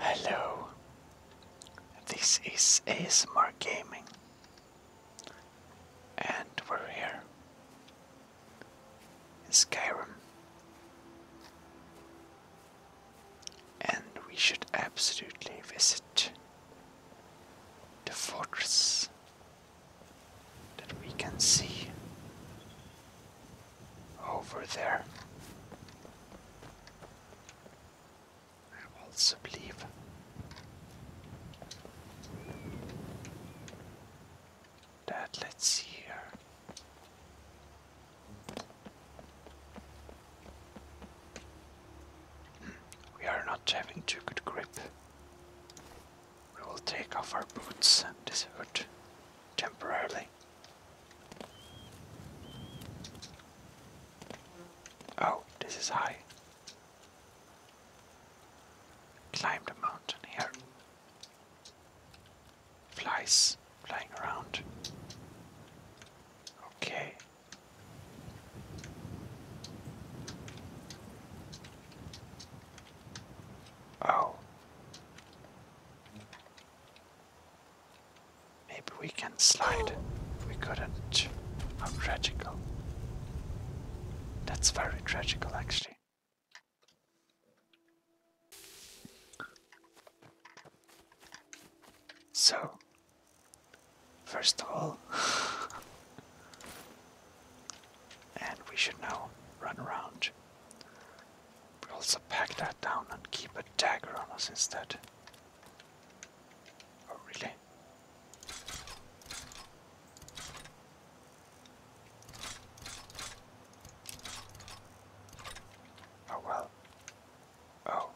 Hello, this is ASMR Gaming, and we're here in Skyrim, and we should absolutely visit the fortress that we can see over there. I also believe that let's see here. Hmm, we are not having too good grip. We will take off our boots and this hood temporarily. Oh, this is high. Climb the mountain here. Flies flying around. Okay. Oh. Maybe we can slide. We couldn't. How tragical. That's very tragical, actually. So, first of all, and we should now run around. We also pack that down and keep a dagger on us instead. Oh, really? Oh, well. Oh.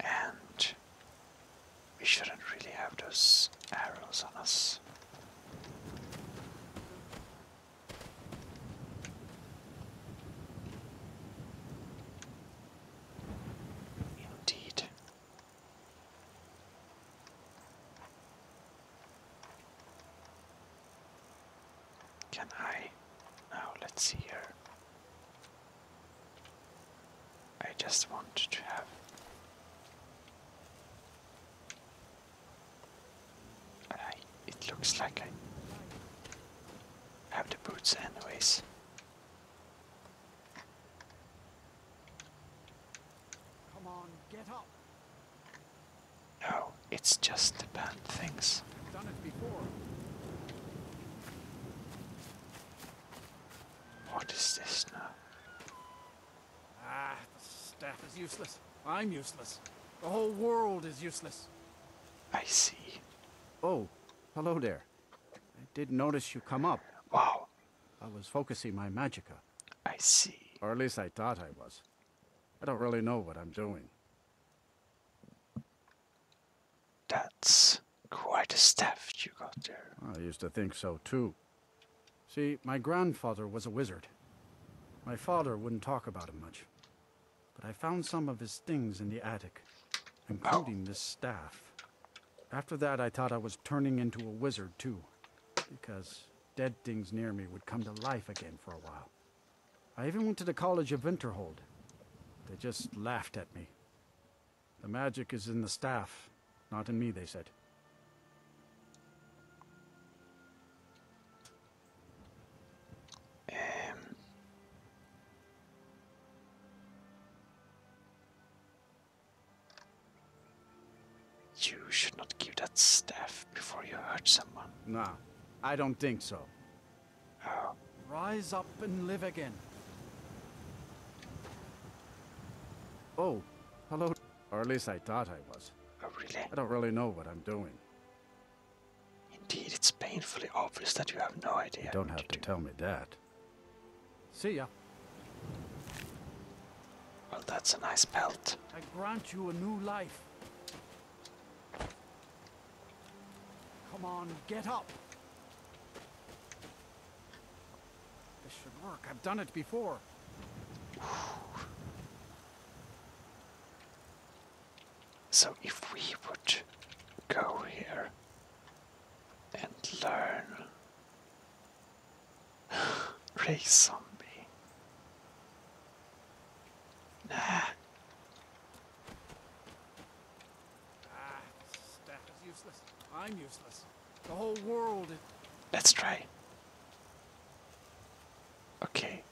And we shouldn't really have those arrows on us. Indeed. Can I? Now let's see here. I just want to have it looks like I have the boots anyways. Come on, get up. No, it's just the bad things. What is this now? Ah, the staff is useless. I'm useless. The whole world is useless. I see. Oh, hello there. I did notice you come up. Wow. I was focusing my magica. I see. Or at least I thought I was. I don't really know what I'm doing. That's quite a staff you got there. I used to think so too. See, my grandfather was a wizard. My father wouldn't talk about him much. But I found some of his things in the attic, including this staff. After that, I thought I was turning into a wizard, too, because dead things near me would come to life again for a while. I even went to the College of Winterhold. They just laughed at me. The magic is in the staff, not in me, they said. Um, you should not give that staff before you hurt someone. No, I don't think so. Oh. Rise up and live again. Oh, hello. Or at least I thought I was. Oh, really? I don't really know what I'm doing. Indeed, it's painfully obvious that you have no idea. You don't have to tell me that. See ya. Well, that's a nice belt. I grant you a new life. Come on, get up. This should work. I've done it before. So if we would go here and learn race zombie. Nah. Ah, staff useless. I'm useless. The whole world. Let's try. Okay.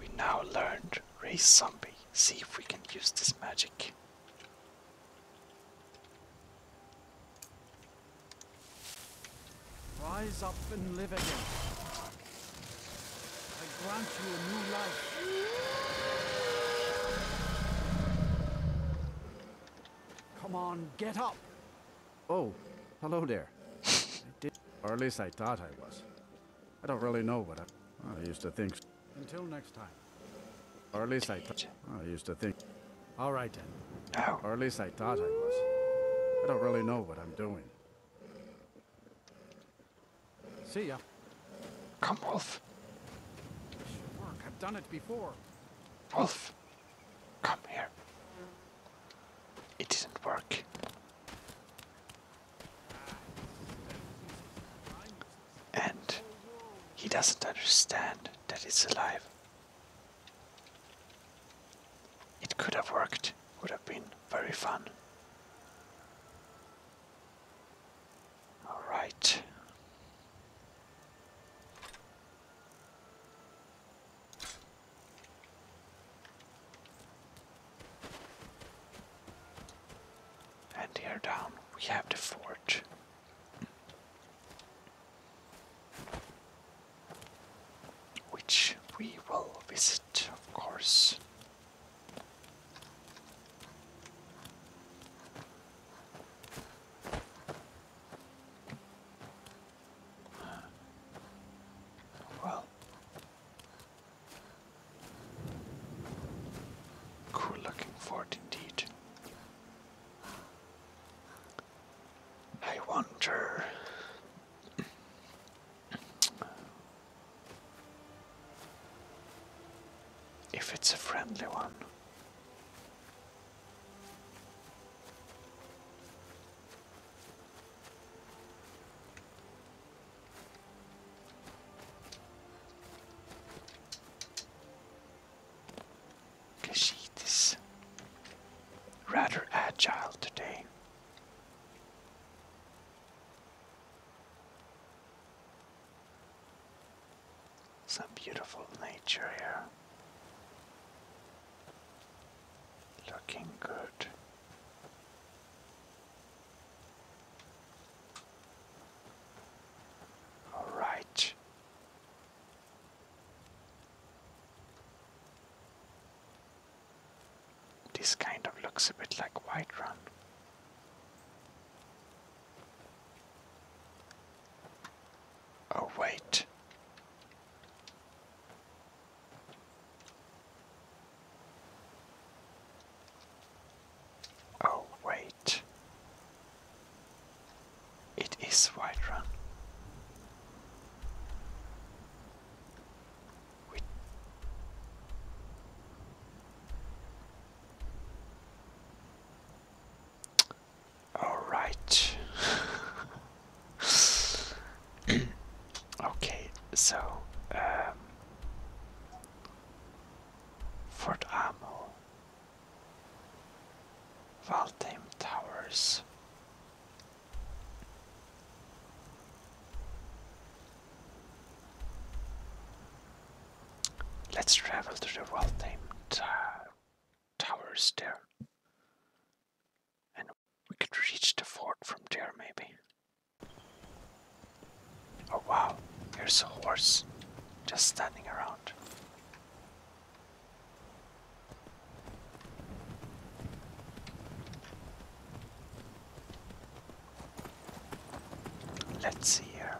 We now learned raise zombie. See if we can use this magic. Rise up and live again. I grant you a new life. Come on, get up. Oh, hello there. or at least I thought I was. I don't really know what I, I used to think. Until next time. Or at least I, used to think. All right Or at least I thought I was. I don't really know what I'm doing. See ya. Come on. Rolf. work. I've done it before. Rolf, come here. It doesn't work. And he doesn't understand that it's alive. It could have worked, would have been very fun. All right. And here down we have the fort. Which we will visit, of course. Well, cool looking fort indeed. I wonder. If it's a friendly one, the is rather agile today. Some beautiful nature here. Looking good. All right. This kind of looks a bit like White Run. Oh, wait. Oh, wait. It is White Run. All right. okay, so um, Fort Amo, Valheim Towers. Let's travel to the well-named uh, towers there. And we could reach the fort from there, maybe. Oh wow, here's a horse just standing around. Let's see here.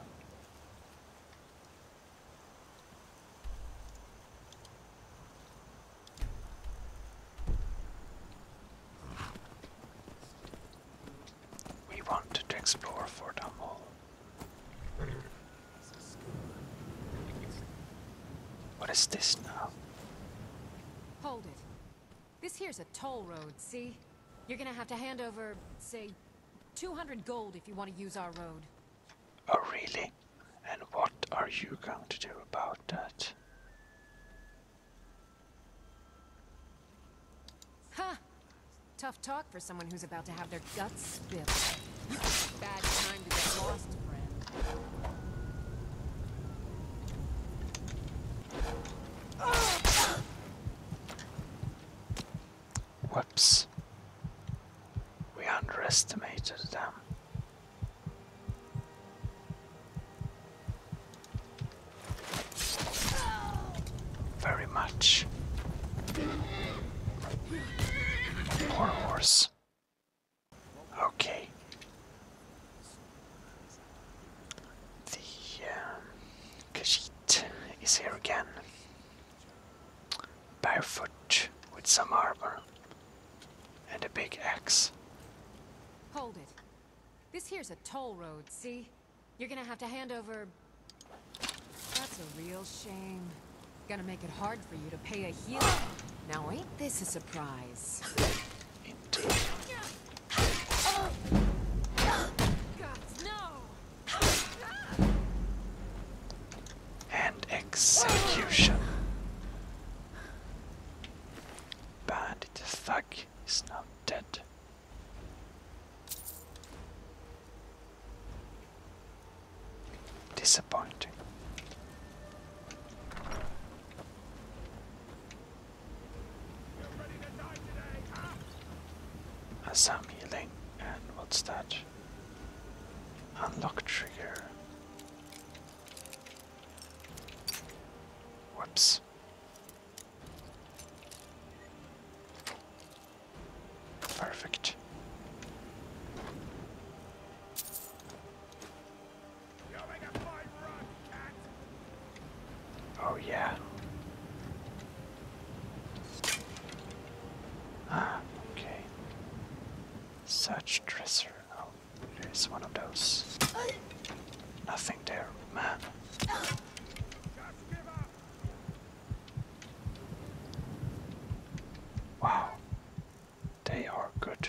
We wanted to explore Fort Humble. What is this now? Hold it. This here's a toll road, see? You're gonna have to hand over, say, 200 gold if you want to use our road. Oh, really? And what are you going to do about that? Huh. Tough talk for someone who's about to have their guts spilled. Bad time to get lost, friend. Whoops. We underestimated them. Very much. Poor horse. Okay. The um, is here again. Barefoot with some armor and a big axe. Hold it. This here's a toll road, see? You're gonna have to hand over... That's a real shame. Gonna make it hard for you to pay a healer. Now ain't this a surprise? And execution. Bandit thug is now dead. Disappointing has some healing. And what's that? Unlock trigger. Whoops. Perfect. Oh, yeah. Ah, okay. Such dresser. Oh, it is one of those. Nothing there, man. Wow. They are good.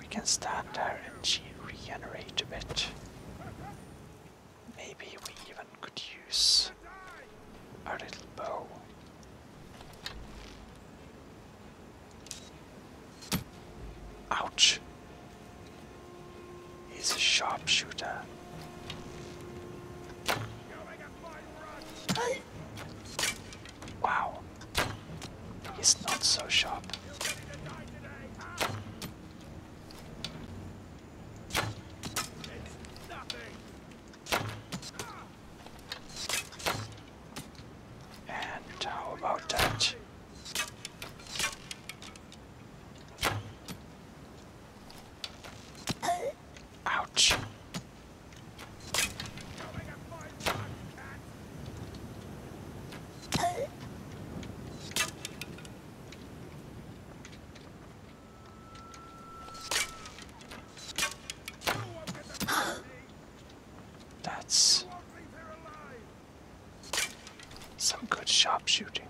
We can stand there and regenerate a bit. Maybe we even could use our little bow. Ouch! He's a sharpshooter. Wow. He's not so sharp. And how about that? Uh, Ouch. That's some good sharpshooting.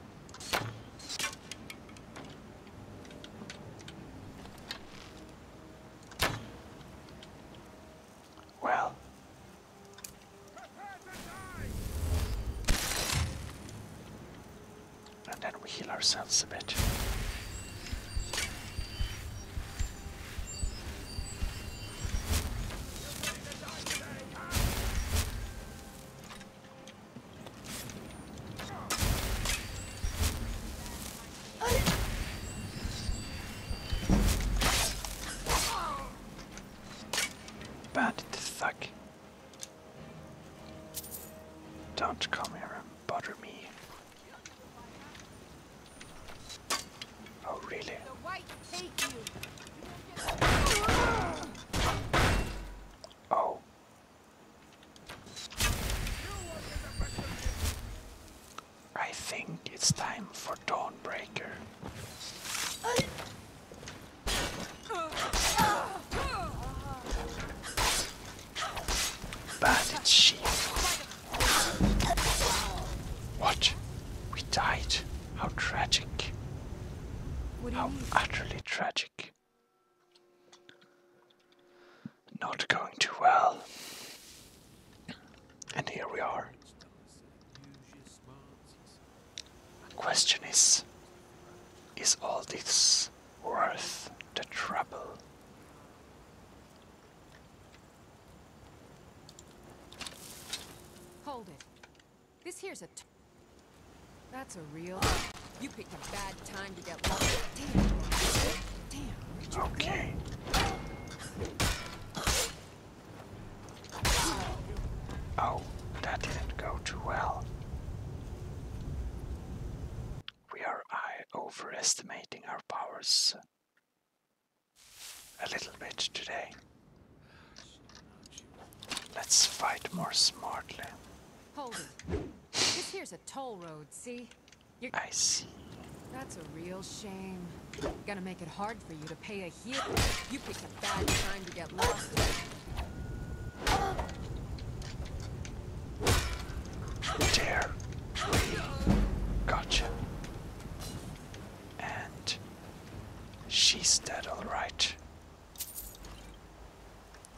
Well. And then we heal ourselves a bit. Bandit suck. Don't come here and bother me. Oh really? Oh, I think it's time for Dawnbreaker. Bandit What? We died? How tragic. How utterly tragic. Not going too well. And here we are. Question is Is all this worth the trouble? Hold it. This here's a. That's a real. You picked a bad Okay. Oh, that didn't go too well. We are overestimating our powers a little bit today. Let's fight more smartly. Hold it. this here's a toll road, see? You're... I see. That's a real shame. Gonna make it hard for you to pay a heel. You picked a bad time to get lost. There. We gotcha. And she's dead, alright.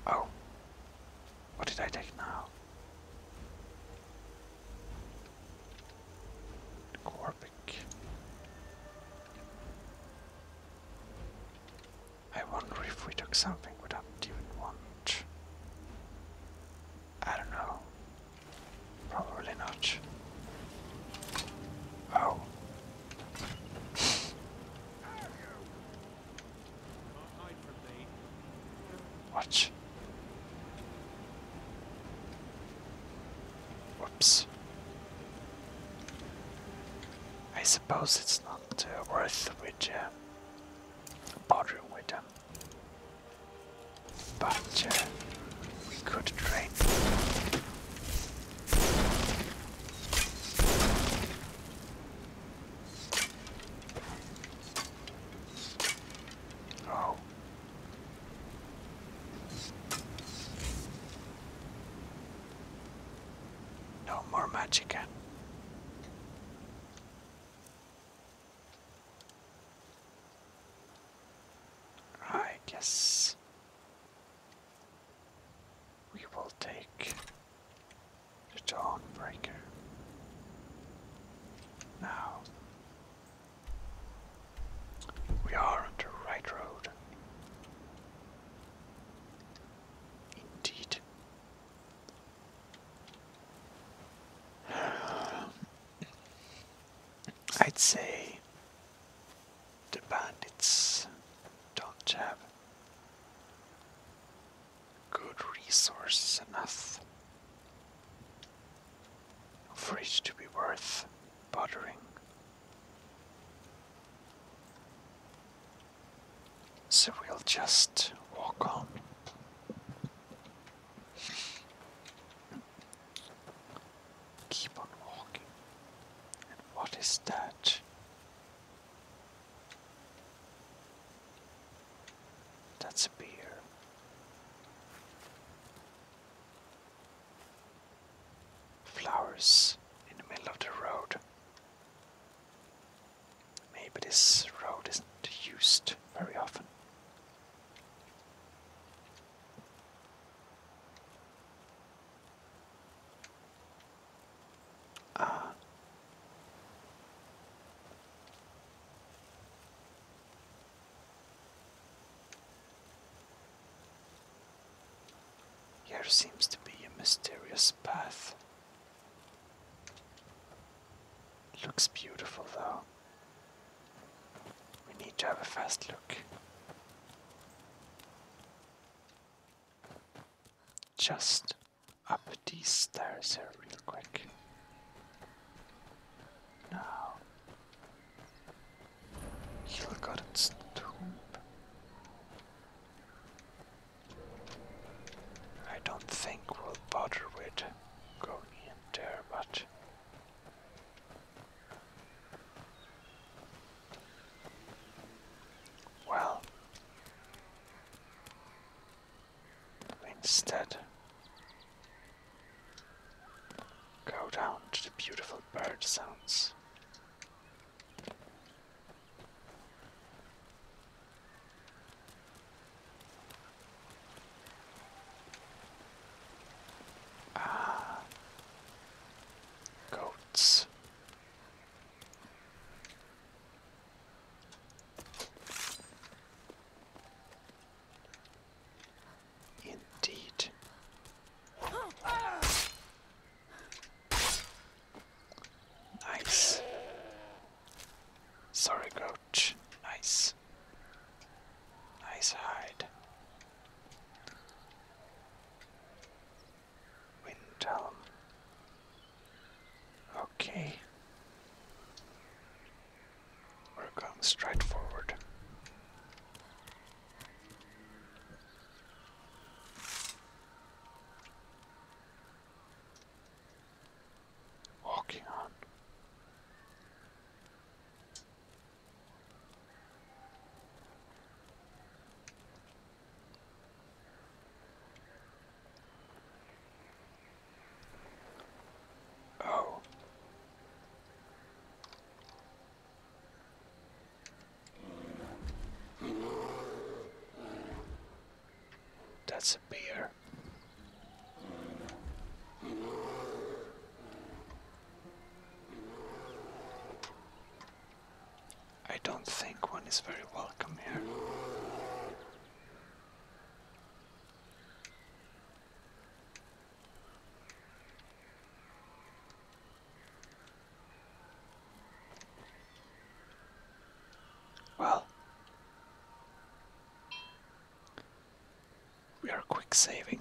Oh. What did I take now? Corbic. I wonder if we took something we even want. I don't know. Probably not. Oh. Watch. Whoops. I suppose it's not uh, worth uh, with um, uh, bothering with them, but we could train. No more magic. Right, eh? yes. We will take the Dawnbreaker. Now, we are on the right road. Indeed. I'd say the bandits don't have good resources enough for it to be worth bothering. So we'll just walk on. Keep on walking. And what is that? That's a beer. Flowers in the middle of the road. Maybe this road isn't used very often uh, here seems to be a mysterious path. looks beautiful though. We need to have a fast look. Just up these stairs here real quick. Now he'll got its tomb. I don't think we'll bother with going in there, but well, Instead, go down to the beautiful bird sounds. Ah, goats. Indeed. Nice. Sorry, Grouch. Nice. Nice hide. Windhelm. Okay. We're going straight forward. Walking on. Oh. That's a bear. I don't think one is very welcome here. Well, we are quick saving.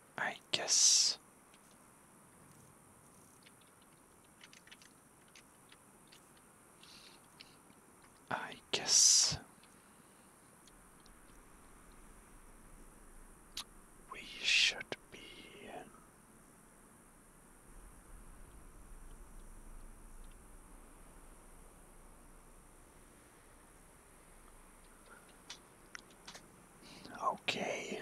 I guess. I guess we should be Okay.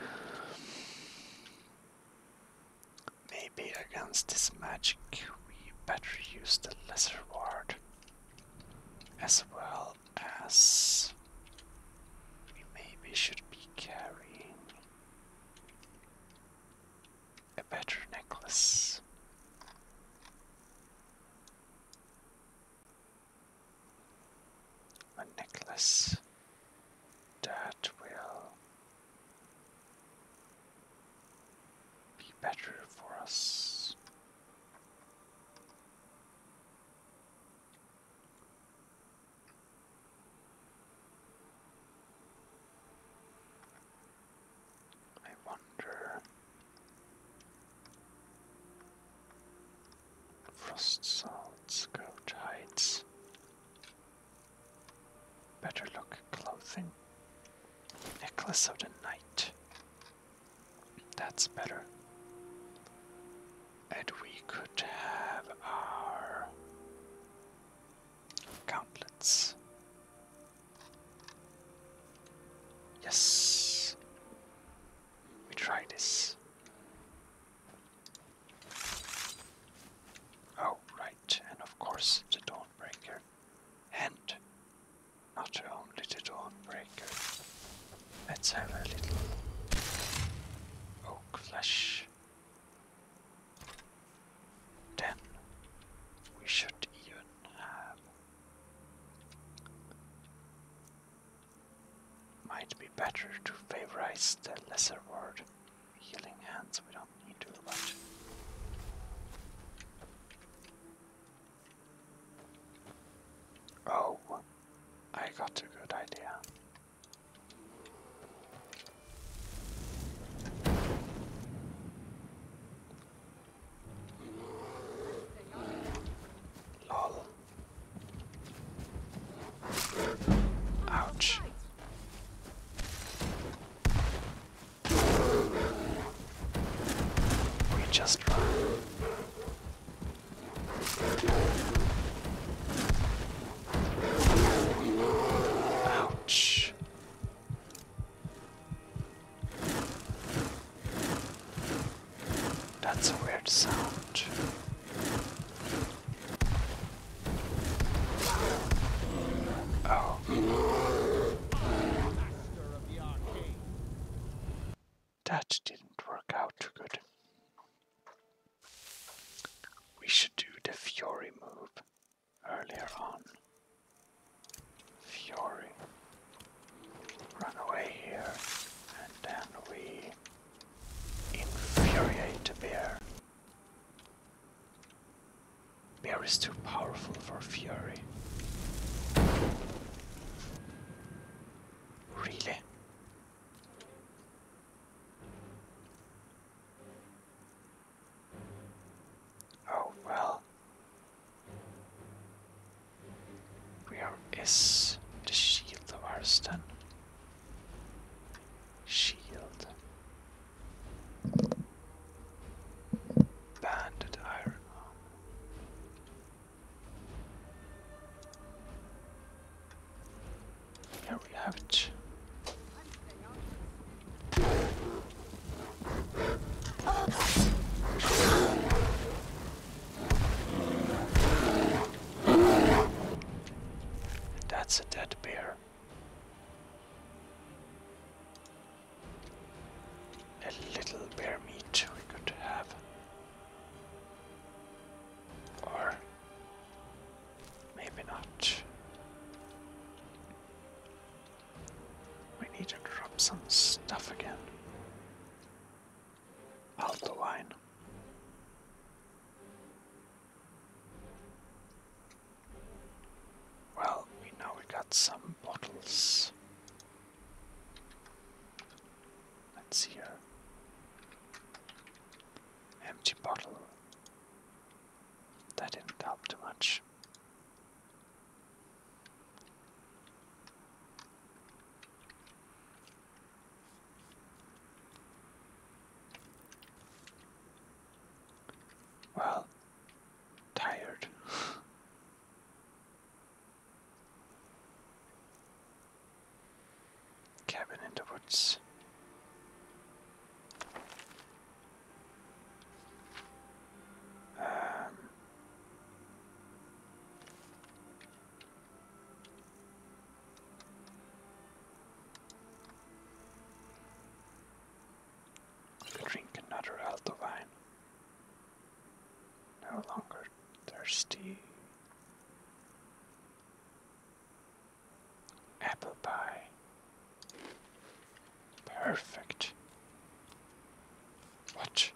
Maybe against this magic we better use the lesser ward as well as we maybe should be carrying a better necklace a necklace that will be better for us. I wonder Frost salts, goat hides. Better look clothing. Necklace of the Night. That's better. And we could have our gauntlets. Yes. We try this. Oh, right, and of course the Dawnbreaker. And not only the Dawnbreaker. Let's have a little oak Then we should even have might be better to favorize the lesser word. Healing hands, we don't need too much. Oh, I got a good idea. Lol. Ouch. We just run. Ouch. That's a weird sound. Oh. That didn't work out too good. We should do the Fury move earlier on. Fury. Run away here, and then we infuriate the bear. Bear is too powerful for fury. Really? Oh well. Where is the shield of Arstan? Shield. Banded iron Here we have it. That's a dead bear. A little bear meat we could have. Or maybe not. We need to drop some stuff again out the line. Well, we now we got some bottles. Let's see here. Empty bottle. That didn't help too much. Well, tired. Cabin in the woods. Um, I'll drink another Alto wine. No longer thirsty. Apple pie. Perfect. What?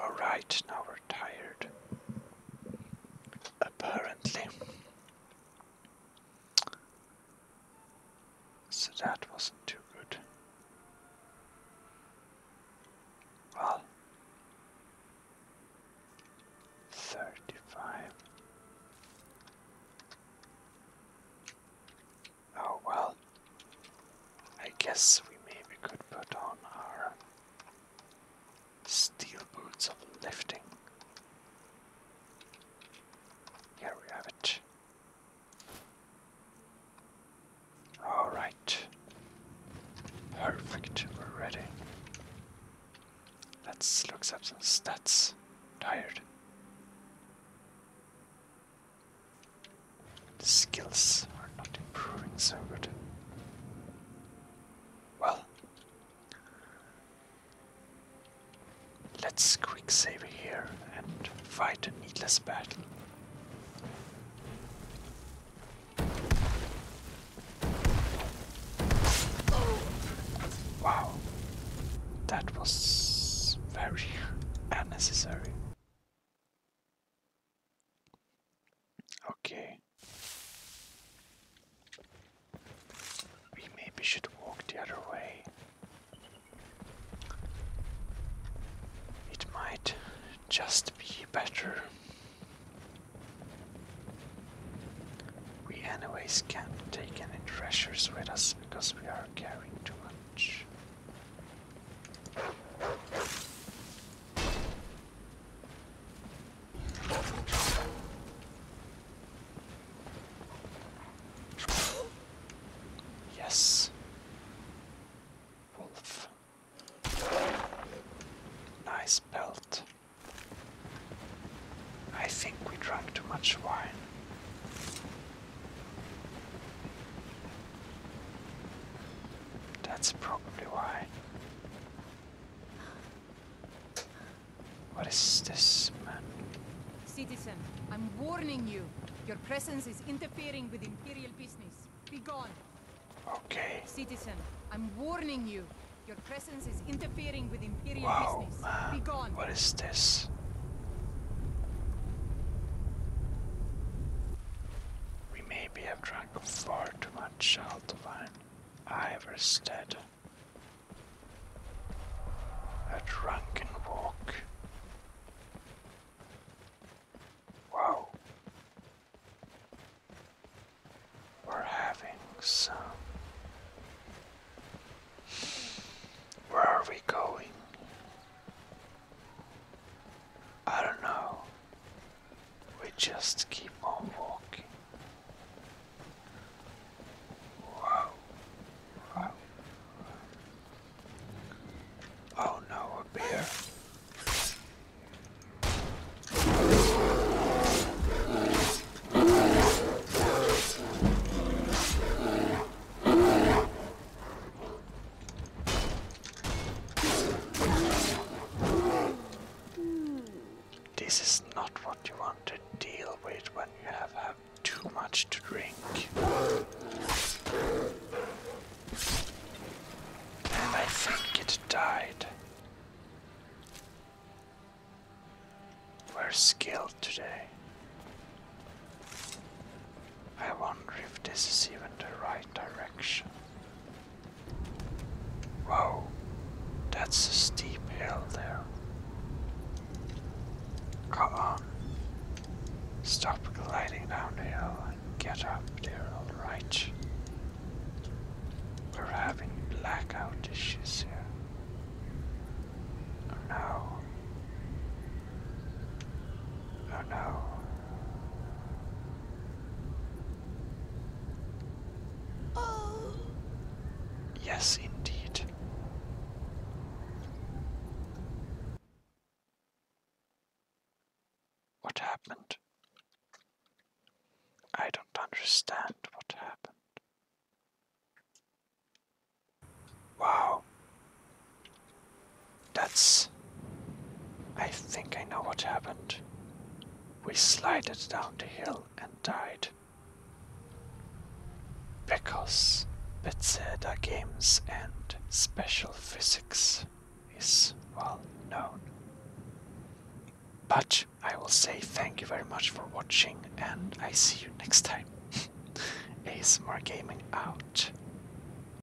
Alright, now we're tired. Apparently. So that wasn't too good. Well, 35. Oh well, I guess we maybe could put on our steel boots of lifting. Here we have it. Alright. Perfect, we're ready. Let's look up some stats. Tired skills are not improving so good. Well, let's quick save here and fight a needless battle. Wow, that was very unnecessary. Okay. We maybe should walk the other way. It might just be better. We, anyways, can't take any treasures with us because we are carrying too much. Yes. Wolf. Nice belt. I think we drank too much wine. That's probably why. What is this, man? Citizen, I'm warning you. Your presence is interfering with Imperial business. Be gone. Okay. Citizen, I'm warning you. Your presence is interfering with Imperial business. Man. Be gone. What is this? We we have drunk far too much Altovine. Iverstead. A drunken walk. Wow. We're having some. Where are we going? I don't know. We just keep on walking. Oh no, a bear. This is not what you want to deal with when you have had too much to drink. And I think died. We're skilled today. I wonder if this is even the right direction. Whoa, that's a steep hill there. Come on. Stop gliding down the hill and get up there, alright? We're having blackout issues here. Oh no. Oh no. Oh. Yes, indeed. What happened? I don't understand what happened. Wow, that's. I think I know what happened. We slided down the hill and died. Because Bethesda games and special physics is well known. But I will say thank you very much for watching and I see you next time. ASMR Gaming out.